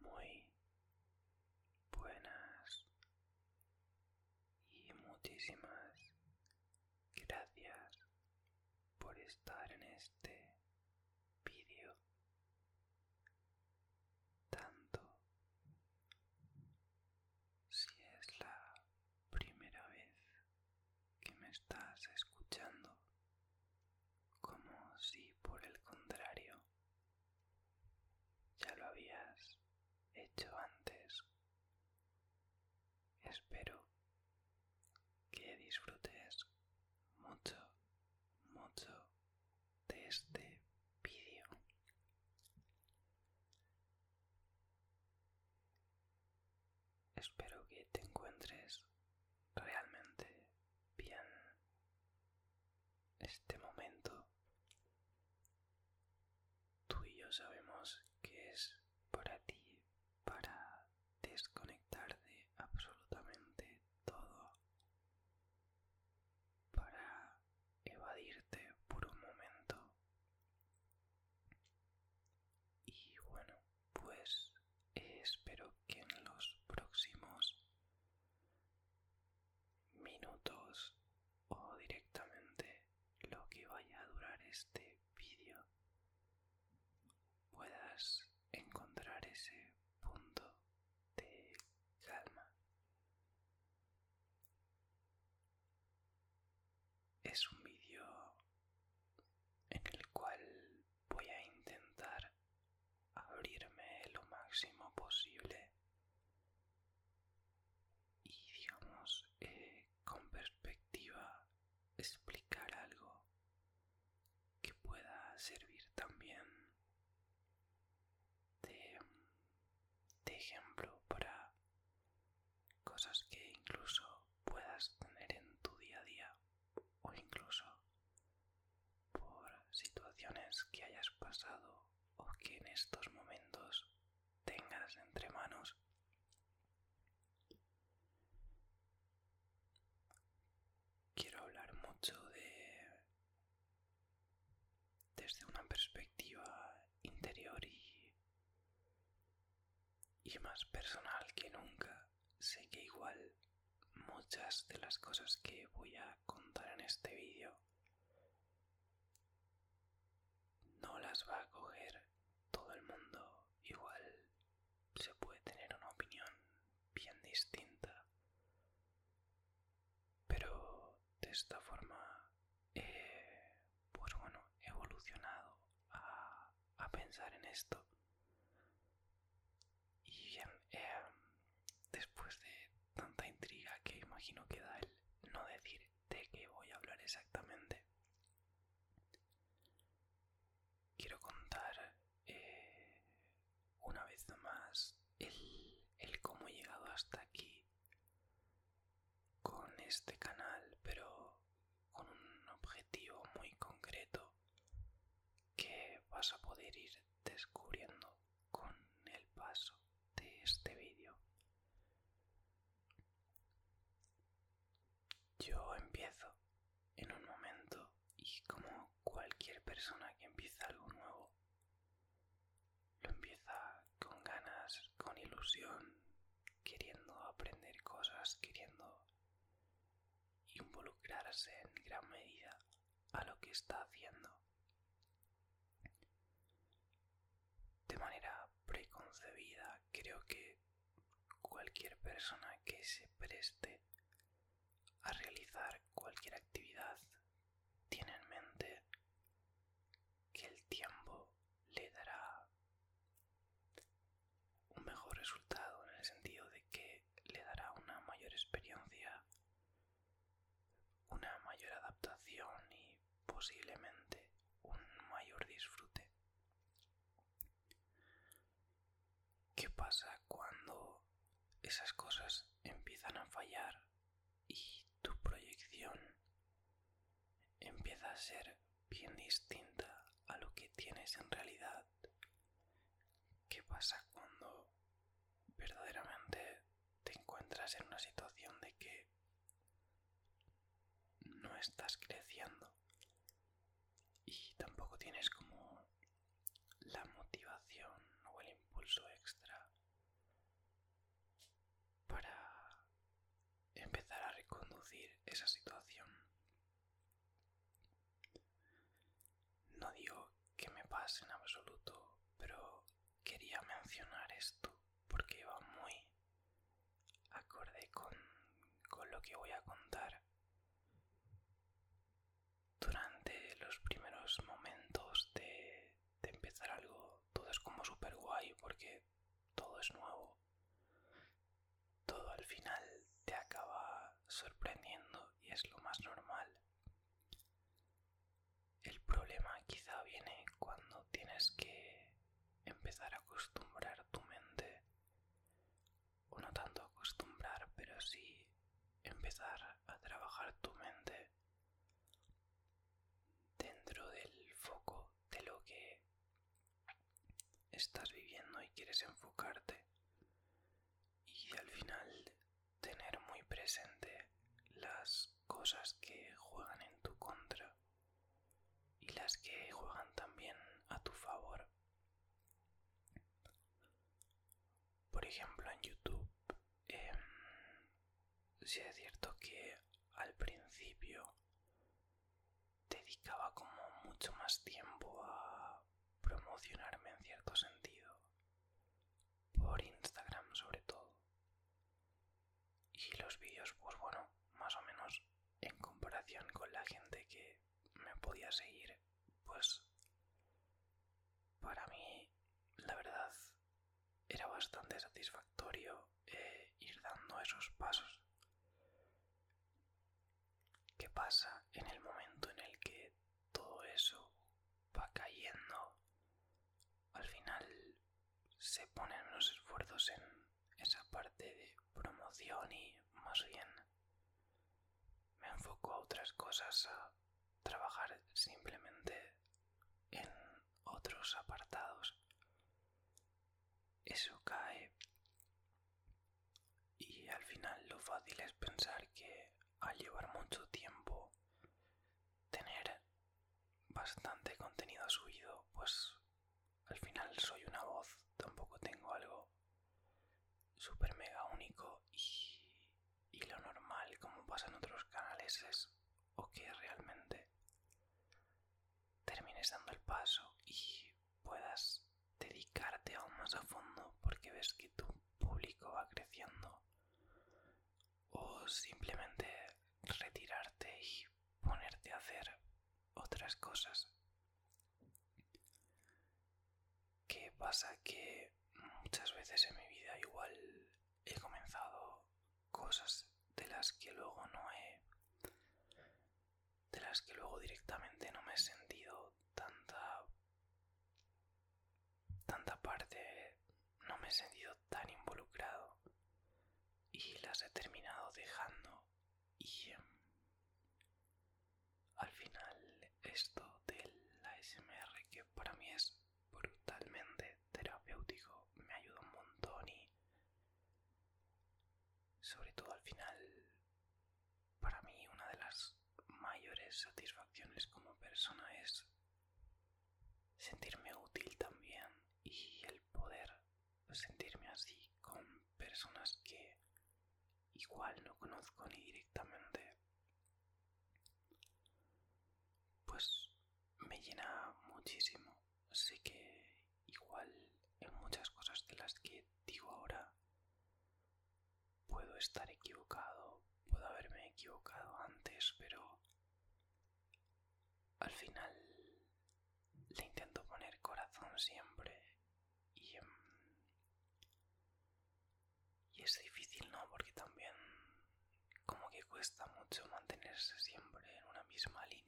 muy buenas y muchísimas gracias por estar en este vídeo tanto si es la primera vez que me estás escuchando como si por el contrario ya lo habías hecho antes. Espero que disfrutes mucho, mucho de este vídeo. Espero que te encuentres realmente bien este momento. Tú y yo sabemos que es para ti, para desconectarte de absolutamente todo, para evadirte por un momento. Y bueno, pues espero que en los próximos minutos o directamente lo que vaya a durar este vídeo puedas encontrar ese punto de calma. Es un vídeo en el cual voy a intentar abrirme lo máximo posible y digamos eh, con perspectiva explicar algo que pueda servir también de ejemplo para cosas que incluso puedas tener en tu día a día o incluso por situaciones que hayas pasado o que en estos momentos tengas entre manos. Quiero hablar mucho de desde una perspectiva interior y, y más personal que nunca sé que igual muchas de las cosas que voy a contar en este vídeo no las va a coger todo el mundo igual se puede tener una opinión bien distinta pero de esta forma eh, pues bueno he evolucionado a pensar en esto y bien, em, em, después de tanta intriga que imagino que da el no decir de qué voy a hablar exactamente, quiero contar eh, una vez más el, el cómo he llegado hasta aquí con este canal, pero con un objetivo muy concreto que vas a poder ir descubriendo con el paso de este vídeo. Yo empiezo en un momento y como cualquier persona que empieza algo nuevo, lo empieza con ganas, con ilusión, queriendo aprender cosas, queriendo involucrarse en gran medida a lo que está haciendo de manera preconcebida creo que cualquier persona que se preste a realizar cualquier actividad tiene en mente que el tiempo le dará un mejor resultado en el sentido de que le dará una mayor experiencia, una mayor adaptación y posiblemente un mayor disfrute. ¿Qué pasa cuando esas cosas empiezan a fallar y tu proyección empieza a ser bien distinta a lo que tienes en realidad ¿Qué pasa cuando verdaderamente te encuentras en una situación de que no estás creciendo y tampoco tienes como la motivación o el impulso extra para empezar a reconducir esa situación no digo que me pase en absoluto, pero quería mencionar esto porque va muy acorde con, lo que voy a contar. Durante los primeros momentos de, de empezar algo, todo es como super guay porque todo es nuevo, todo al final te acaba sorprendiendo y es lo más normal. El problema quizá viene cuando tienes que empezar a acostumbrar tu mente, o no tanto acostumbrar, pero sí empezar a trabajar tu mente dentro del foco de lo que estás viviendo y quieres enfocarte y al final tener muy presente las cosas que juegan en tu contra y las que juegan también a tu favor. Por ejemplo, en YouTube, em, si es cierto que al principio dedicaba como mucho más tiempo a promocionarme en cierto sentido, por Instagram sobre todo. Y los vídeos, pues bueno, más o menos en comparación con la gente que me podía seguir, pues para mí, la verdad, era bastante satisfactorio eh, ir dando esos pasos. ¿Qué pasa en el momento en el que todo eso va cayendo? Al final se ponen los esfuerzos en esa parte de promoción y más bien me enfoco a otras cosas, a trabajar simplemente en otros apartados eso cae y al final lo fácil es pensar que al llevar mucho tiempo tener bastante contenido subido pues al final soy una voz tampoco tengo algo super mega único y, lo normal como pasa en otros canales es o que realmente termines dando el paso y puedas dedicarte aún más a fondo porque ves que tu público va creciendo o simplemente retirarte y ponerte a hacer otras cosas. ¿Qué pasa? Que muchas veces en mi vida igual he comenzado cosas de las que luego no he de las que luego directamente no me he sentido tanta tanta parte no me he sentido tan involucrado y las he terminado dejando y em, al final esto del ASMR que para mí es brutalmente terapéutico me ayuda un montón y sobre todo al final, para mí una de las mayores satisfacciones como persona es sentirme útil también y el poder sentirme así con personas que igual no conozco ni directamente, pues me llena muchísimo sé que igual en muchas cosas de las que digo ahora puedo estar equivocado, puedo haberme equivocado antes, pero al final le intento poner corazón siempre y, em, es difícil, ¿no? Porque también como que cuesta mucho mantenerse siempre en una misma línea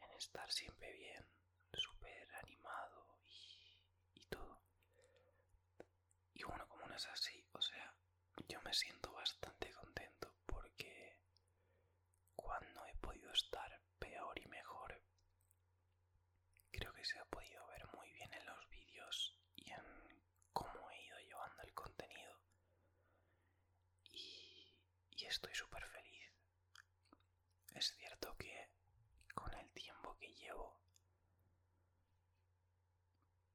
en estar siempre bien, súper animado y, y todo. Y bueno, como no es así, o sea, yo me siento bastante contento porque cuando he podido estar peor y mejor, creo que se ha podido ver muy bien en los vídeos y en cómo he ido llevando el contenido. Y, y estoy súper feliz es cierto que con el tiempo que llevo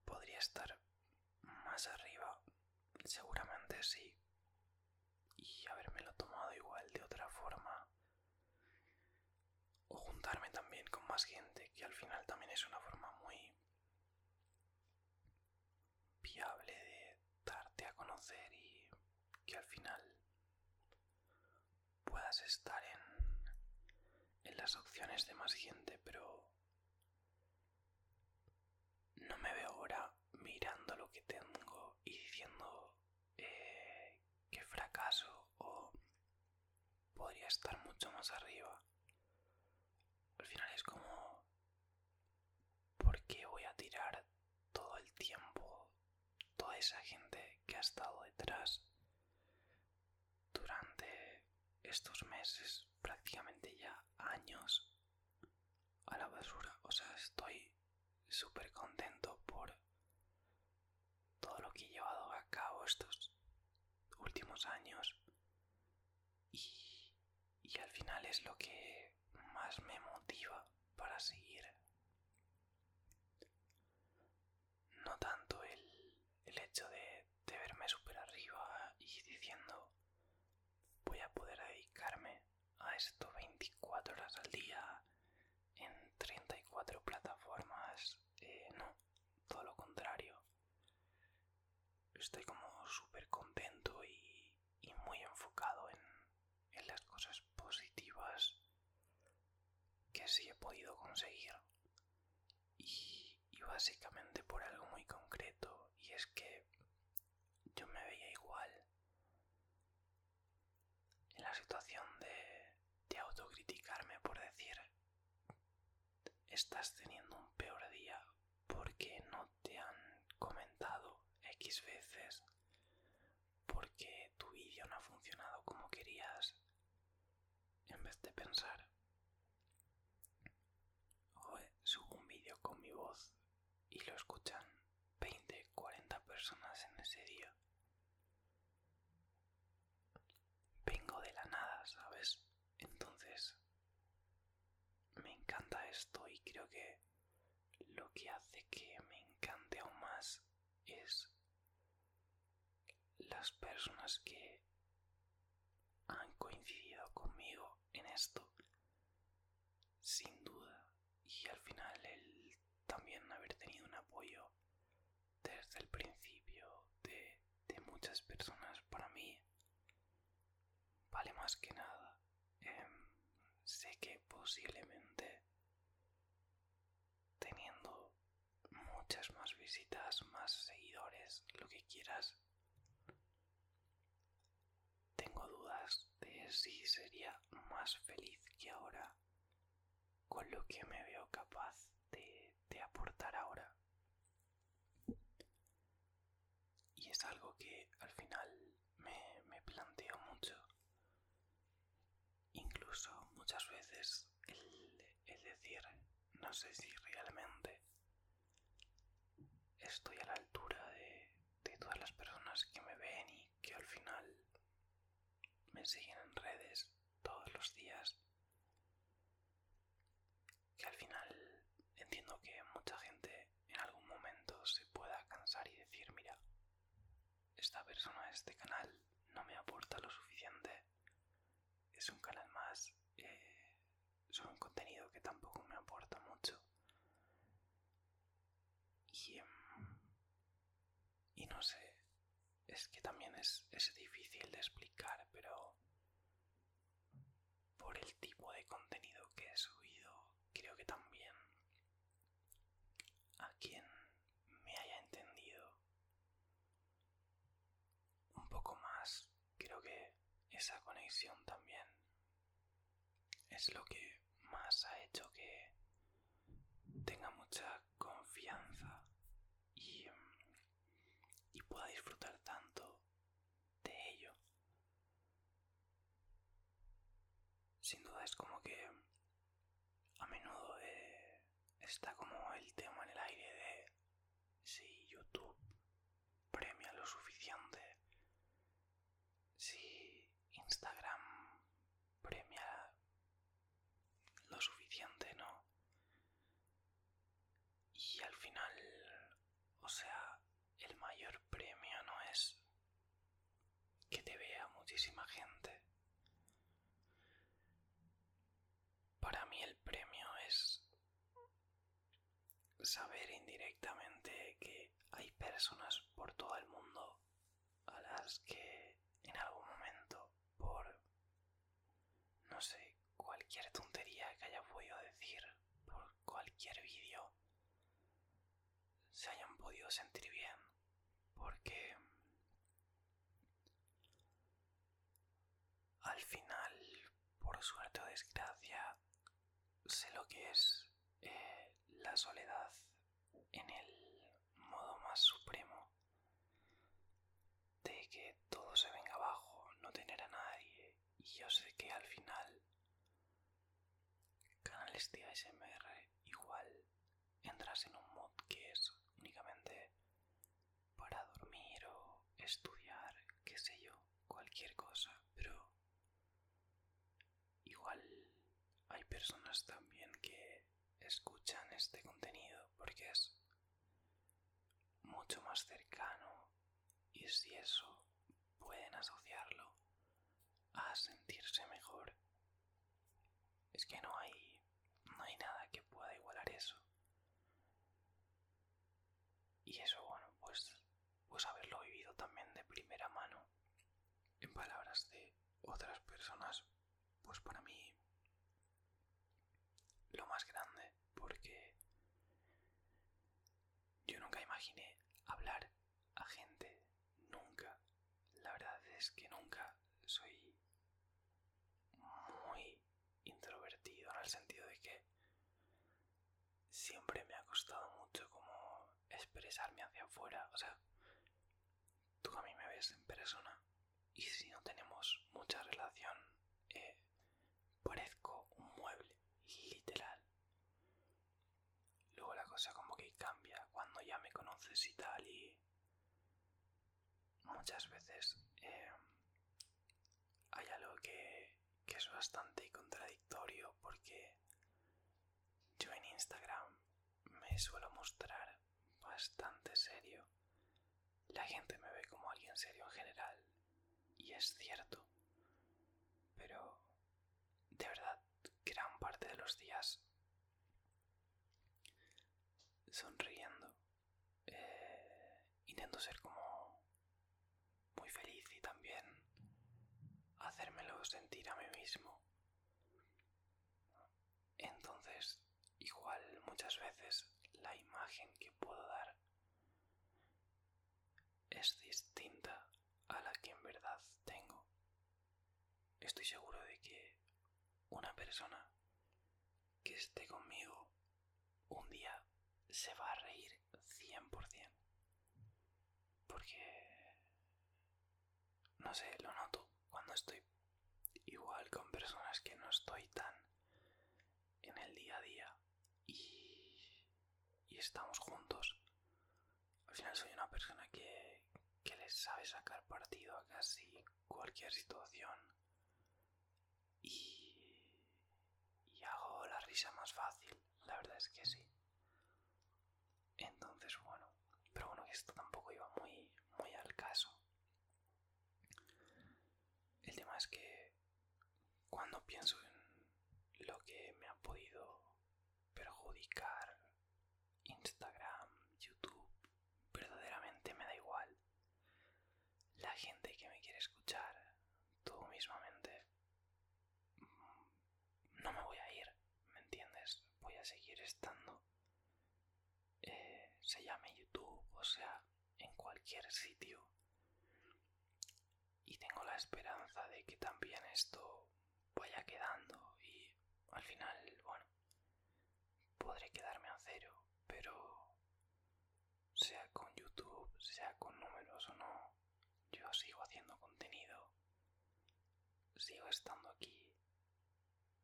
podría estar más arriba, seguramente sí, y habérmelo tomado igual de otra forma, o juntarme también con más gente, que al final también es una forma muy viable de darte a conocer y que al final puedas estar en, las opciones de más gente, pero no me veo ahora mirando lo que tengo y diciendo eh, que fracaso o podría estar mucho más arriba. Al final es como porque voy a tirar todo el tiempo, toda esa gente que ha estado detrás durante estos meses, prácticamente ya años, a la basura? O sea, estoy súper contento por todo lo que he llevado a cabo estos últimos años y y al final es lo que más me motiva para seguir. No tanto el, hecho de, verme súper arriba y diciendo voy a poder dedicarme a esto 24 horas al día en 34 plataformas. Eh, no, todo lo contrario. Estoy como súper contento y y, muy enfocado en, en las cosas positivas que sí he podido conseguir y, y básicamente por algo muy concreto y es que yo me veía igual en la situación de, de autocriticarme por decir estás teniendo un peor día porque no te han comentado X veces, porque tu vídeo no ha funcionado como querías, en vez de pensar, Joder, subo un vídeo con mi voz y lo escuchan 20, 40 personas en ese día. Vengo de la nada, ¿sabes? Entonces me encanta esto y creo que lo que hace que me encante aún más es las personas que han coincidido conmigo en esto sin duda y al final el también haber tenido un apoyo desde el principio de, muchas personas para mí Vale, más que nada, em, sé que posiblemente teniendo muchas más visitas, más seguidores, lo que quieras, tengo dudas de si sería más feliz que ahora con lo que me veo capaz de aportar ahora. Y es algo que al final me, planteo mucho. Incluso muchas veces el, decir, no sé si realmente estoy a la altura de todas las personas que me ven y que al final me siguen en redes todos los días que al final entiendo que mucha gente en algún momento se pueda cansar y decir, mira, esta persona, este canal no me aporta lo suficiente, es un canal más, es eh, un contenido que tampoco me aporta mucho. Y, mm, no sé, es que también es difícil de explicar, pero por el tipo de contenido que he subido, creo que también a quien me haya entendido un poco más, creo que esa conexión también es lo que más ha hecho que tenga mucha confianza y, pueda disfrutar tanto de ello. Sin duda es como que a menudo eh, está como el tema en el aire de si YouTube premia lo suficiente, si Instagram premia lo suficiente, ¿no? Y al final, o sea, el mayor premio no es que te vea muchísima gente. Para mí el premio es saber indirectamente que hay personas por todo el mundo a las que en algún momento por, no sé, cualquier tontería que haya podido decir por cualquier vídeo se hayan podido sentir bien porque al final por suerte o desgracia sé lo que es eh, la soledad en el modo más supremo de que todo se venga abajo no tener a nadie y yo sé que al final canales de ASMR igual entras en un mod que es únicamente para dormir o estudiar, qué sé yo, cualquier cosa, pero igual hay personas también que escuchan este contenido porque es mucho más cercano y si eso pueden asociarlo a sentirse mejor, es que no hay, no hay nada que pueda igualar eso. Y eso, bueno, pues, pues haberlo vivido también de primera mano, en palabras de otras personas, pues para mí lo más grande, porque yo nunca imaginé hablar a gente, nunca. La verdad es que nunca soy muy introvertido en el sentido de que siempre me ha costado mucho como expresarme hacia afuera. O sea, tú a mí me ves en persona y si no tenemos mucha relación eh, Parezco un mueble, literal. Luego la cosa como que cambia cuando ya me conoces y tal y muchas veces em, hay algo que es bastante contradictorio porque yo en Instagram me suelo mostrar bastante serio. La gente me ve como alguien serio en general, y es cierto. Pero, de verdad, gran parte de los días sonriendo. Eh, intento ser como muy feliz y también hacérmelo sentir a mí mismo. Entonces, igual muchas veces la imagen que puedo dar es distinta a la que en verdad tengo. Estoy seguro de que una persona que esté conmigo un día se va a reír 100%. Porque, no sé, lo noto cuando estoy igual con personas que no estoy tan en el día a día y, y estamos juntos. Al final soy una persona que, que les sabe sacar partido a casi cualquier situación y, y hago la risa más fácil, la verdad es que sí. Entonces, bueno, pero bueno, que esto tampoco iba muy, muy al caso. El tema es que cuando pienso en lo que me ha podido perjudicar Instagram, YouTube, verdaderamente me da igual. La gente que me quiere escuchar, tú mismamente, mm, no me voy a ir, ¿me entiendes? Voy a seguir estando. Eh, se llame YouTube, o sea, en cualquier sitio. Y tengo la esperanza de que también esto vaya quedando y al final, bueno, podré quedarme a cero, pero sea con YouTube, sea con números o no, yo sigo haciendo contenido, sigo estando aquí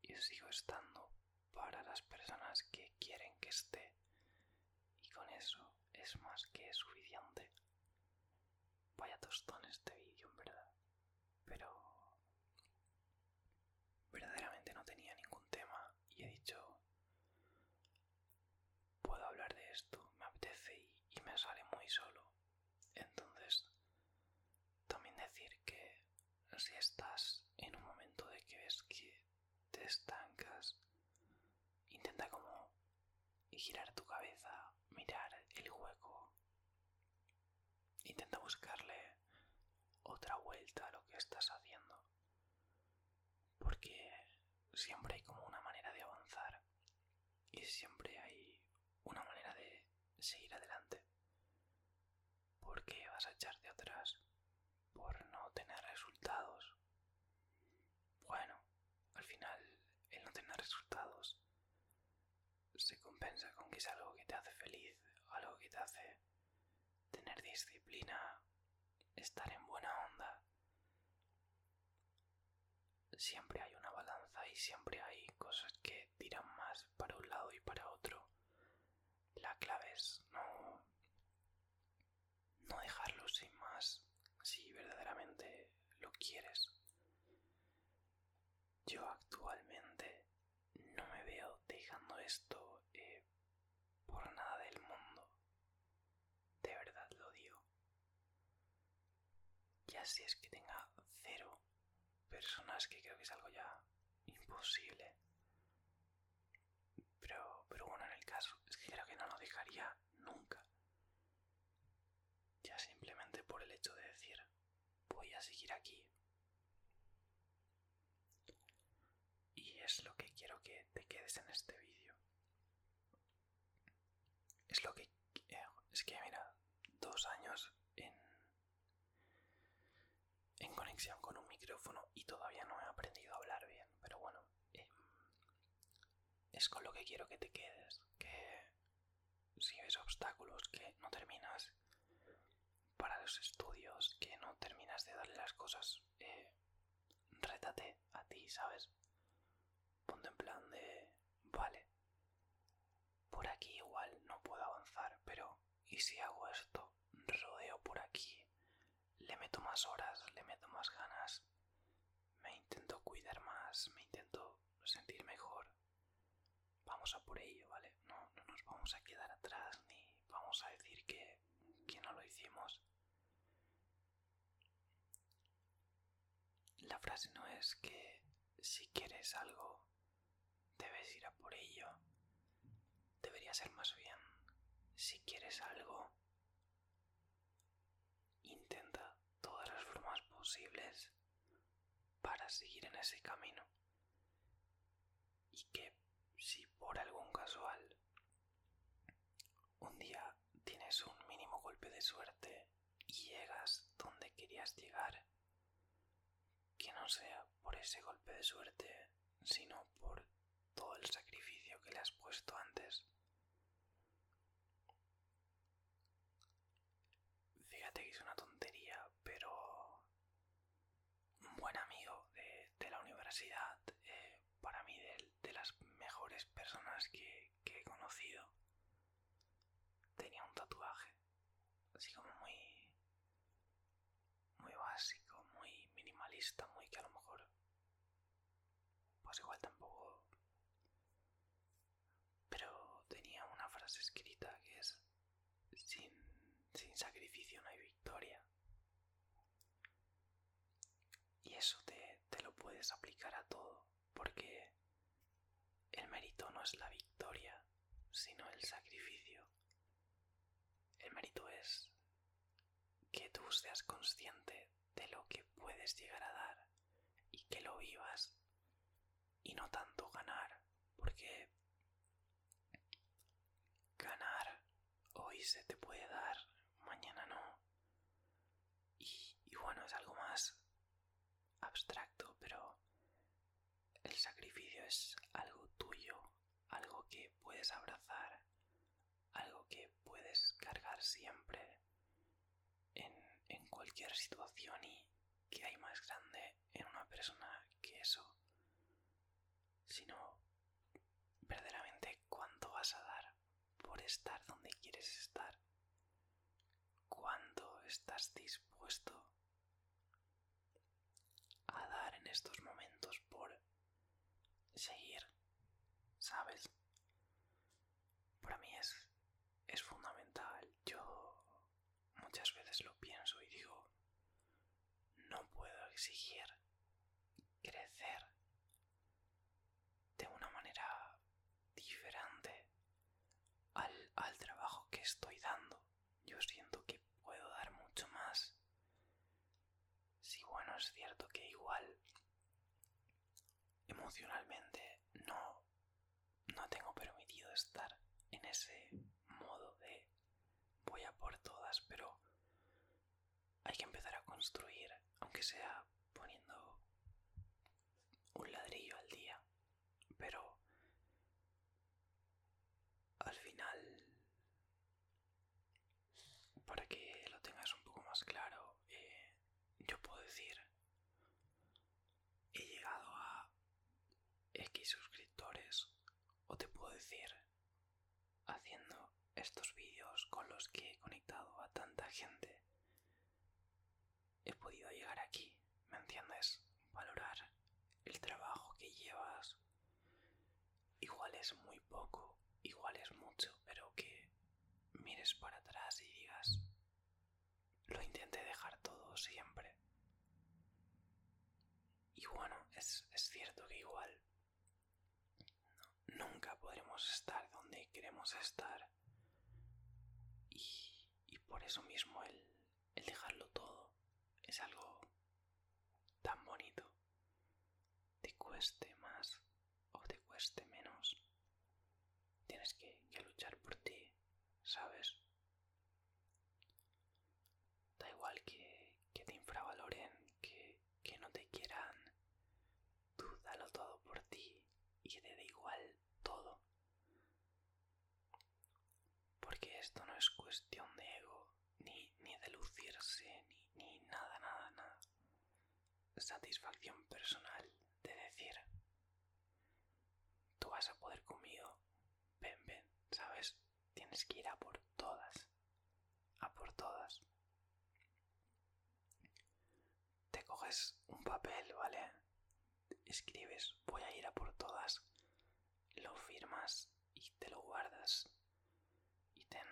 y sigo estando para las personas que quieren que esté. Y con eso es más que suficiente. Vaya tostón este vídeo, en verdad. Pero... Verdaderamente no tenía ningún tema y he dicho... Puedo hablar de esto, me apetece y, me sale muy solo. Entonces, también decir que si estás en un momento de que ves que te estancas. Intenta como girar tu cabeza, mirar el hueco. Intenta buscarle otra vuelta a lo que estás haciendo. Porque siempre hay como una manera de avanzar. Y siempre hay una manera de seguir adelante. ¿Por qué vas a echarte atrás? Por no tener resultados. Bueno, al final el no tener resultados se compensa con que es algo que te hace feliz, algo que te hace tener disciplina, estar en buena onda. Siempre hay una balanza y siempre hay cosas que tiran más para un lado y para otro. La clave es no no dejarlo sin más si verdaderamente lo quieres. Yo actualmente no me veo dejando esto eh, por nada del mundo. De verdad lo digo. Ya si es que tenga cero personas, que creo que es algo ya imposible. Pero, pero bueno, en el caso es que creo que no lo dejaría nunca. Ya simplemente por el hecho de decir, voy a seguir aquí. Y es lo que quiero que te quedes en este vídeo. Es lo que... Eh, es que mira, dos años en en conexión con un micrófono y todavía no he aprendido a hablar bien, pero bueno, em, es con lo que quiero que te quedes, que si ves obstáculos que no terminas para los estudios, que no terminas de darle las cosas, eh, rétate a ti, ¿sabes? Ponte en plan de, vale, por aquí igual no puedo avanzar, pero y si hago esto, rodeo por aquí, le meto más horas, le meto más ganas, me intento cuidar más, me intento sentir mejor. Vamos a por ello, ¿vale? No, nos vamos a quedar atrás ni vamos a decir que, que no lo hicimos. La frase no es que si quieres algo, Debes ir a por ello. Debería ser más bien, si quieres algo, intenta todas las formas posibles para seguir en ese camino. Y que si por algún casual un día tienes un mínimo golpe de suerte y llegas donde querías llegar, que no sea por ese golpe de suerte, sino por todo el sacrificio que le has puesto antes. Fíjate que es una tontería, pero un buen amigo de, la universidad, eh, para mí de, de, las mejores personas que he conocido, tenía un tatuaje, así como muy muy básico, muy minimalista, muy que a lo mejor pues igual tampoco... Pero tenía una frase escrita que es, sin, sacrificio no hay victoria. Y eso te lo puedes aplicar a todo, porque el mérito no es la victoria, sino el sacrificio. El mérito es que tú seas consciente de lo que puedes llegar a dar y que lo vivas y no tanto ganar, porque ganar hoy se te puede dar, mañana no. Y, y bueno, es algo más abstracto, pero el sacrificio es algo tuyo, algo que puedes abrazar, algo que puedes cargar siempre en, cualquier situación y que hay más grande en una persona que eso, sino verdaderamente cuánto vas a dar por estar donde quieres estar, cuánto estás dispuesto a dar en estos momentos por seguir, ¿sabes? Para mí es, es fundamental. Yo muchas veces lo pienso y digo, no puedo exigir crecer de una manera diferente al, al trabajo que estoy dando yo siento que puedo dar mucho más. si bueno, es cierto que igual emocionalmente no, no tengo permitido estar en ese modo de voy a por todas, pero hay que empezar a construir, aunque sea poniendo un ladrillo al día, pero al final para que lo tengas un poco más claro eh, yo puedo decir he llegado a x suscriptores o te puedo decir haciendo estos vídeos con los que he conectado a tanta gente he podido llegar aquí ¿Me entiendes? Valorar el trabajo que llevas. Igual es muy poco, igual es mucho, pero que mires para atrás y digas, lo intenté dejar todo siempre. Y bueno, es, cierto que igual nunca podremos estar donde queremos estar. Y, y por eso mismo el, el dejarlo todo es algo tan bonito. Te cueste más o te cueste menos. Tienes que, luchar por ti, ¿sabes? Da igual que, te infravaloren, que, que no te quieran. Tú dalo todo por ti y te da igual todo. Porque esto no es cuestión de ego, ni, de lucirse, ni, ni nada, nada, nada. Satisfacción personal de decir, tú vas a poder conmigo, ven, ven, ¿sabes? Tienes que ir a por todas, a por todas. Te coges un papel, ¿vale? escribes voy a ir a por todas, lo firmas y te lo guardas y ten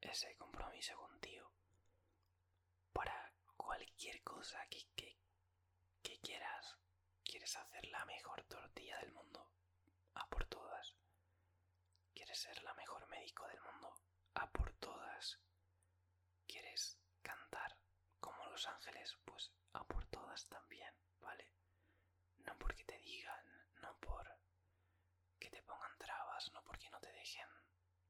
ese compromiso contigo para cualquier cosa que, quieras. ¿Quieres hacer la mejor tortilla del mundo? A por todas. ¿Quieres ser la mejor médico del mundo? A por todas. ¿Quieres cantar como Los Ángeles? Pues a por todas también. ¿vale? No porque te digan, no por que te pongan trabas, no porque no te dejen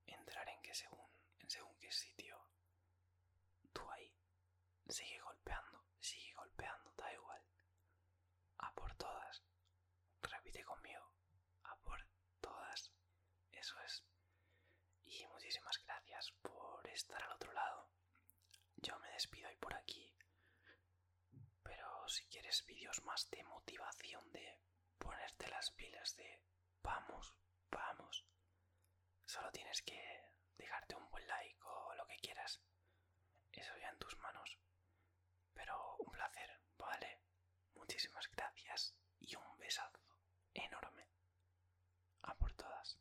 entrar en que según, en según qué sitio. Tú ahí, sigue golpeando, sigue golpeando, da igual. A por todas. Repite conmigo. A por todas. Eso es. Y muchísimas gracias por estar al otro lado yo me despido hoy por aquí. Pero si quieres vídeos más de motivación, de ponerte las pilas, de vamos, vamos, solo tienes que dejarte un buen like o lo que quieras. Eso ya en tus manos. Pero un placer, ¿vale? Muchísimas gracias y un besazo enorme. A por todas.